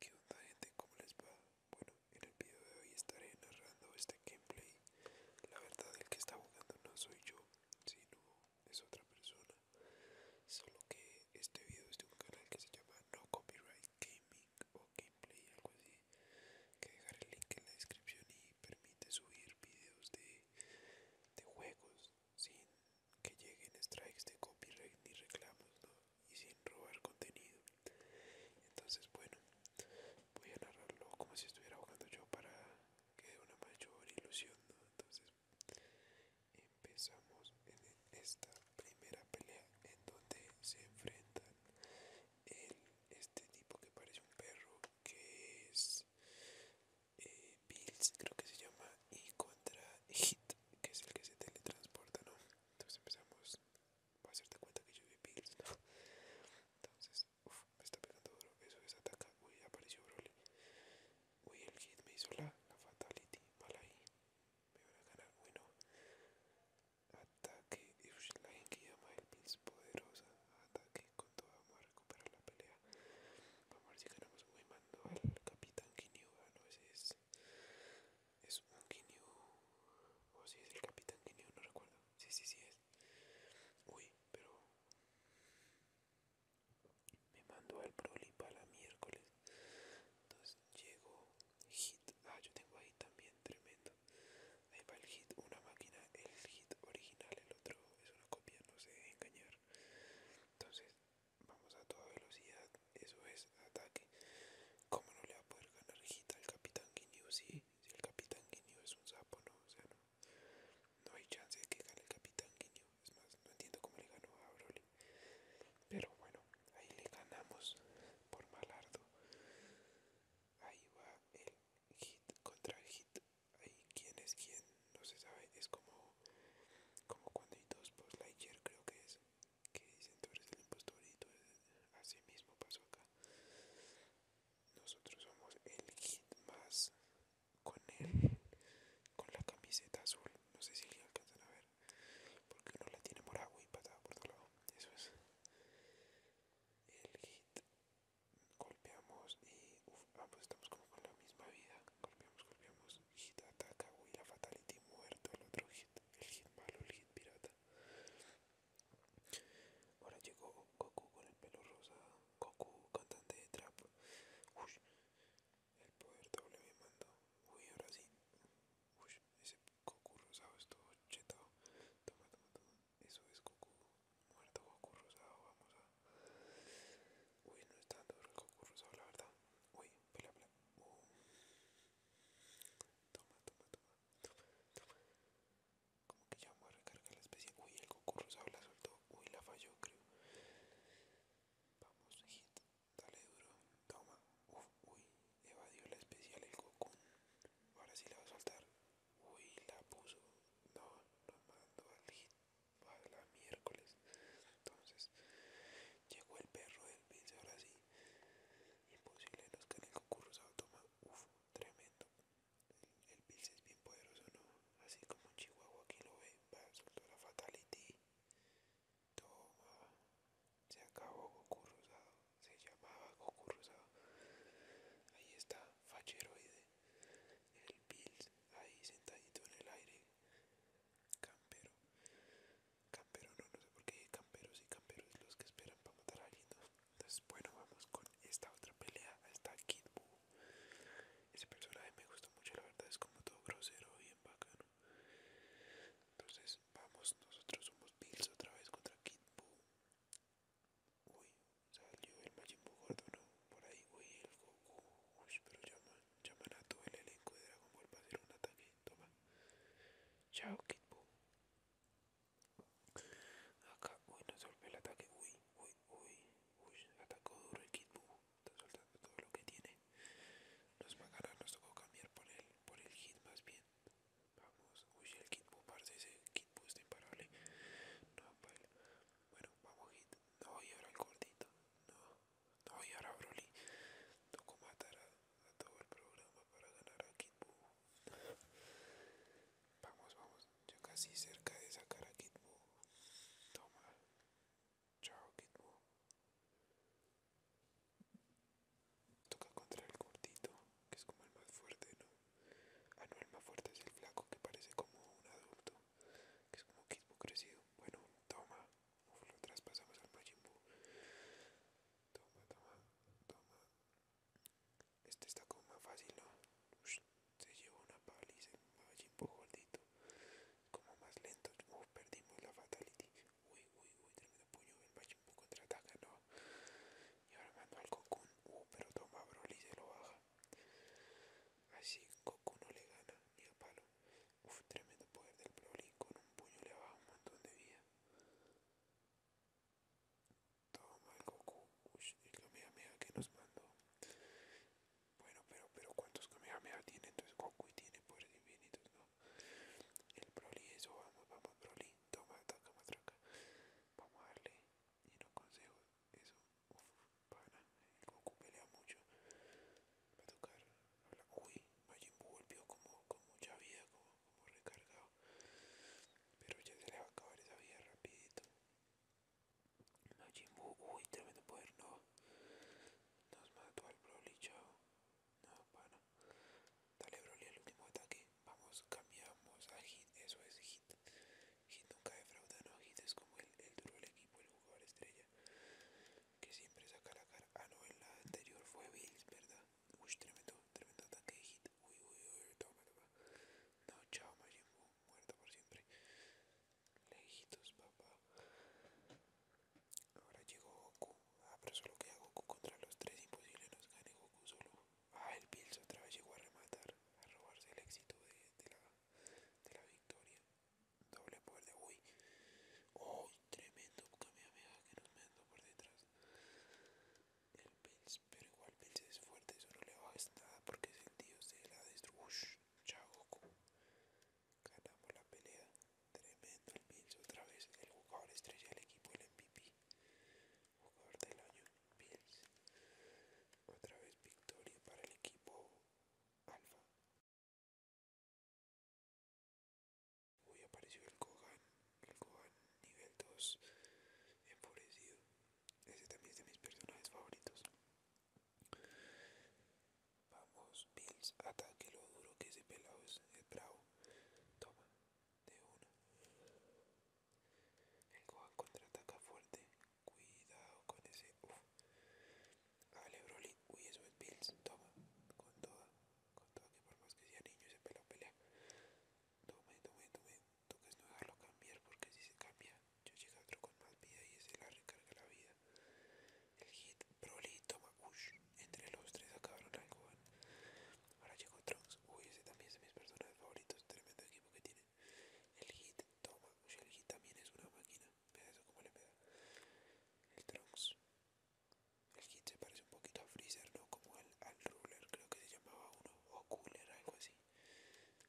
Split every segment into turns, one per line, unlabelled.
¿Qué onda gente? ¿Cómo les va? Bueno, en el video de hoy estaré narrando este gameplay. La verdad el que está jugando no soy yo, sino es otra persona. Solo que este video es de un canal que se llama No Copyright Gaming o Gameplay, algo así. Que dejaré el link en la descripción y permite subir videos de, de juegos sin que lleguen strikes de copyright ni reclamos, ¿no? Y sin robar contenido. Entonces, bueno, voy a narrarlo como si estuviera jugando yo para que de una mayor ilusión, Entonces, empezamos en esta primera pelea en donde se enfrentan el, este tipo que parece un perro, que es eh, creo que se llama, y contra Hit, que es el que se teletransporta, ¿no? Entonces empezamos, va a hacerte cuenta que yo vi Bills, ¿no? Entonces, uff, me está pegando duro, eso es ataca, uy, apareció Broly. Uy, el Hit me hizo la, Fatality, mal ahí, me van a ganar, bueno Ataque, uff, la gente llama el Pills poderosa, ataque, con toda, vamos a recuperar la pelea. Vamos a ver si ganamos me mando al capitán Ginyu. Ah, no, ese es. Es un Ginyu. O si es el capitán Ginyu, no recuerdo. Sí, sí, sí es. Uy, pero. Me mandó al Prolipa para miércoles. Entonces llegó Hit. Ah, yo tengo ahí también, tremendo. Ahí va el Hit, una máquina. El Hit original, el otro es una copia, no sé engañar entonces vamos a toda velocidad eso es ataque ¿Cómo no le va a poder ganar hit al capitán Guineo si el capitán Guineo es un sapo no o sea no hay chance de que gane el capitán Guineo es más no entiendo cómo le ganó a Broly pero bueno ahí le ganamos por malardo ahí va el hit contra el hit quién es quién, no se sabe, es como, como cuando hay dos post creo que es, que dicen tú eres el impostor y tú eres, así mismo pasó acá. Nosotros somos el hit más con él, con la camiseta azul, no sé si le alcanzan a ver, porque uno la tiene morado y patada por todo lado, eso es el hit golpeamos y uf, ambos ah, pues estamos como con la misma vida. Golpeamos, golpeamos, hit ataca, la fatality muerto, el otro hit, el hit malo, el hit pirata. Ahora llegó Goku con el pelo rosado Goku cantante de trap. el poder doble me mandó. Uy, ahora sí. ese Goku rosado estuvo chetado. Toma, toma, toma. Eso es Goku muerto Goku rosado, vamos a... Uy, no está tan duro el Goku rosado, la verdad. Uy, pela, pela. Uh. Toma, toma, toma, Como que ya vamos a recargar la especial Uy, el Goku rosado la soltó. Uy, la falló, creo. Vamos, hit. Dale duro. Toma. Uf, uy, evadió la especial el Goku. Ahora sí la va a soltar. Uy, la puso. No, no mando al hit va la miércoles. Entonces llegó el perro del piso, ahora sí. Imposible los que en el toma, uff, tremendo. El, el es bien poderoso, ¿no? Así como un chihuahua aquí lo ve, va, soltar la fatality. Toma, se acabó Goku Rosado, se llamaba Goku Rosado. Ahí está, Facheroide. ¿eh? el Bills ahí sentadito en el aire campero campero no no sé por qué camperos y camperos los que esperan para matar a alguien entonces bueno vamos con esta otra pelea hasta Kid ese personaje me gustó mucho la verdad es como todo grosero bien bacano entonces vamos nosotros somos Bills otra vez contra Kid uy Salió el Majin Buu gordo, ¿no? Por ahí, uy, el Goku. Uy, pero ya llaman a todo el elenco de Dragon Ball para hacer un ataque. Toma. Chao, Kid Acá, uy, nos soltar el ataque. Uy, uy, uy. Uy, atacó duro el Kid Buu. Está soltando todo lo que tiene. Nos va a ganar, nos tocó cambiar por el, por el hit más bien. Vamos, uy, el Kid Buu, ese Kid Buu imparable. No, vale. Bueno, vamos hit. No, a ahora el gordito. No, no, y ahora Broly. Tocó matar a, todo el programa para ganar a Kid vamos, vamos. Yo casi cerca de sacar a Kid Toma. Chao, Kid Toca contra el gordito, que es como el más fuerte, ¿no? Ah, no, el más fuerte es el flaco que parece como un adulto que es como un crecido. Bueno, toma, Uf, lo traspasamos al Majin Toma, toma, toma. Este está como más fácil, ¿no? se lleva una paliza El Majin Buu gordito. Como más lento. perdimos la fatality. Uy, uy, uy, tremendo puño. El Majin Buu contraataca, ¿no? Y ahora mando al Cocoon. Uh, pero toma, Broly se lo baja. Así Goku no le gana ni a palo. Uf, tremendo poder del Broly. Con un puño le baja un montón de vida. Toma el Goku. Uf, el Kamehameha que nos mandó. Bueno, pero, pero ¿cuántos Kamehameha tiene? Entonces Goku Y tiene poderes infinitos, ¿no? El Broly, eso, vamos, vamos, Broly. Toma, ataca, matraca. Vamos a darle. Y no consejo. Eso, Uf, pana, Goku pelea mucho. Va a tocar Uy, Majin Buu volvió como, con mucha vida, como, recargado. Pero ya se le va a acabar esa vida rapidito. Majin Buu, uy, tremendo poder, no. Nos mató al Broly, chao. No, pana. Dale Broly al último ataque. Vamos, cambiamos a Hit. Eso es Hit. Hit nunca defrauda, no, Hit es como el, el duro del equipo, el jugador estrella que siempre saca la cara. Ah, no, en la anterior fue Bills, ¿verdad? Uy, tremendo, tremendo ataque de Hit. Uy, uy, uy, toma, No, chao, Majin muerto por siempre. Lejitos, papá. Ahora llegó Goku. Ah, pero solo queda Goku contra los tres. Imposible nos gane Goku solo. Ah, el Bills otra vez llegó a rematar, a robarse el éxito de, de la de la victoria. Doble poder uy uy. tremendo que nos mandó por detrás. El Pils pero igual Pils es fuerte, eso no le baja nada porque es el dios de la destrucción. Chao Ganamos la pelea. Tremendo el Pins otra vez. El jugador estrella del equipo, el MVP. Jugador del año, Pils. Otra vez victoria para el equipo Alfa. Hoy apareció el Kogan, el Kogan nivel 2 enfurecido. Ese también es de mis personajes favoritos. Vamos, Bills, ataque lo duro que ese pelado es, el bravo. Toma, de una. El Gohan contraataca fuerte. Cuidado con ese. Uff Vale, Broly. Uy, eso es Bills. Toma. Con toda. Con toda que por más que sea niño se pelea, pelea. Tome, tome, tome. que es no dejarlo cambiar porque si se cambia, yo llega otro con más vida y ese la recarga la vida. El hit. Broly toma. Ush. Entre los tres acabaron al Gohan. Ahora llegó Trunks. Uy, ese también es de mis personajes favoritos. Tremendo equipo que tiene. El hit toma. El hit también es una máquina. vea eso como le pega. El Trunks. El hit se parece un poquito a Freezer, ¿no? Como al, al Ruler, creo que se llamaba uno. O Cooler, algo así.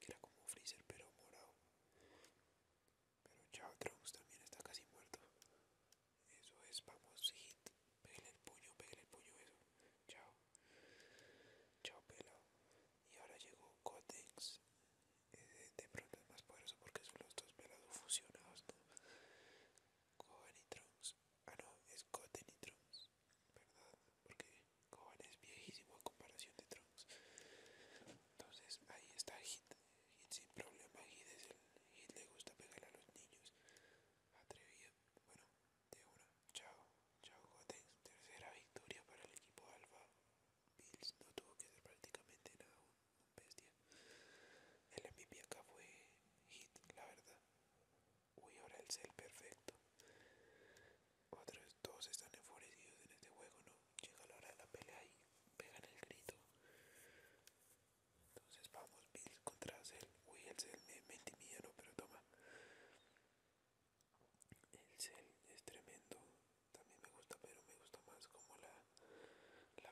Que era como Freezer, pero morado. Pero Chao Trunks también está casi muerto. Eso es, vamos, hit. Pégale el puño, pégale el puño, eso. Chao. Chau pelo. Y ahora llegó Cotex. Eh, de pronto es más poderoso porque son los dos pelados fusionados, ¿no? Gohan y Trunks. Ah, no, es Goten y Trunks. ¿Verdad? Porque Gohan es viejísimo a comparación de Trunks. Entonces ahí está Hit. Hit sin problema. Hit, es el, Hit le gusta pegar a los niños. Atrevido. Bueno, de una. Chao, chao Gotex, tercera victoria para el equipo Alfa. Bills no tuvo que hacer prácticamente nada, un bestia. El MVP acá fue hit, la verdad. Uy, ahora el cel perfecto. Otros dos están enfurecidos en este juego, ¿no? Llega la hora de la pelea y pegan el grito. Entonces vamos, Bills contra Cell. Uy, el Cell me, me ¿no? Pero toma. El cel es tremendo. También me gusta, pero me gusta más como la,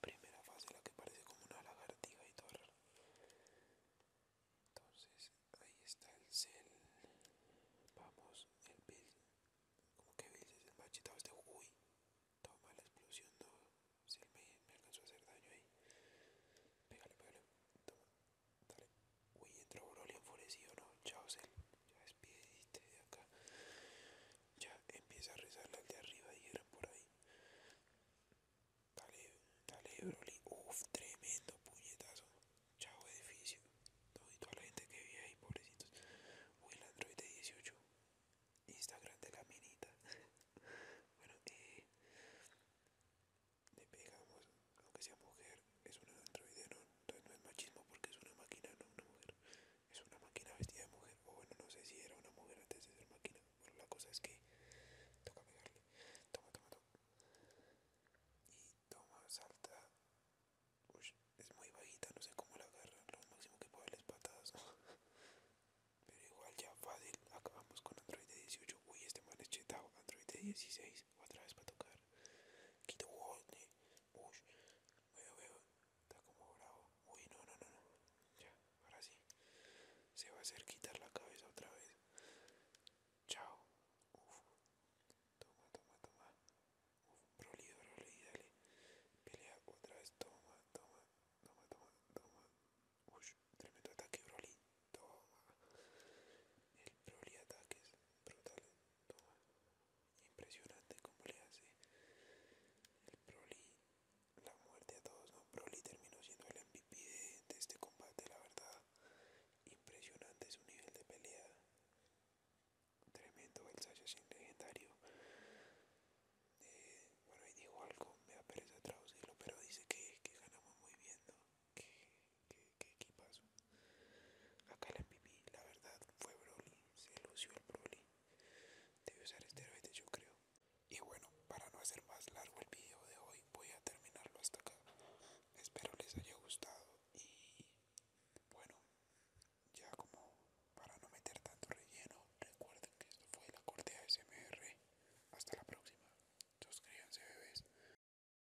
primera fase, la que parece como una lagartija y todo Entonces, ahí está el cel. Vamos, el Bill. Como que Bill es el machito, este. Uy, toma la explosión. No, si él me alcanzó a hacer daño ahí. Pégale, pégale. Toma, Dale. Uy, entró Broly enfurecido, no. Chao, Sel, Ya despide de acá. Ya empieza a rezar al de arriba, dijeron por ahí. Dale, dale, Broly. Uf, tremendo puñetazo. Chao, edificio. todo y toda la gente que vive ahí, pobrecitos. Uy, el Android de 18. Instagram de caminita, bueno, eh le pegamos, aunque sea mujer, es un androide, ¿no? Entonces no es machismo porque es una máquina, no una mujer. Es una máquina vestida de mujer, o bueno, no sé si era una mujer antes de ser máquina, pero la cosa es que toca pegarle. Toma, toma, toma. Y toma, salta. Uy, es muy bajita, no sé cómo la agarra, lo máximo que puedo las patadas, Pero igual ya fácil, acabamos con Android 18. Uy, este mal es chetado, Android de 16 otra vez para tocar. Quito Uy. Eh. uy, veo, veo, está como bravo. Uy, no, no, no, no, ya, ahora sí. Se va a hacer quitar la cabeza otra vez. Chao, Uf, toma, toma, toma. Uf, Broly, Broly, dale. Pelea otra vez, toma, toma, toma, toma, toma. Uy, tremendo ataque, Broly, toma. El Broly ataques brutal impresionante como le hace el proli la muerte a todos no proli terminó siendo el MVP de, este combate la verdad impresionante su nivel de pelea tremendo el sin legendario eh, bueno ahí dijo algo me da traducirlo pero dice que, que ganamos muy bien ¿no? qué pasó? Acá la pipí, la verdad, fue Broly. Se lució el Broly. Debe usar esteroides, yo creo. Y bueno, para no hacer más largo el video de hoy, voy a terminarlo hasta acá. Espero les haya gustado. Y bueno, ya como para no meter tanto relleno, recuerden que esto fue la corte ASMR. Hasta la próxima. Suscríbanse, bebés.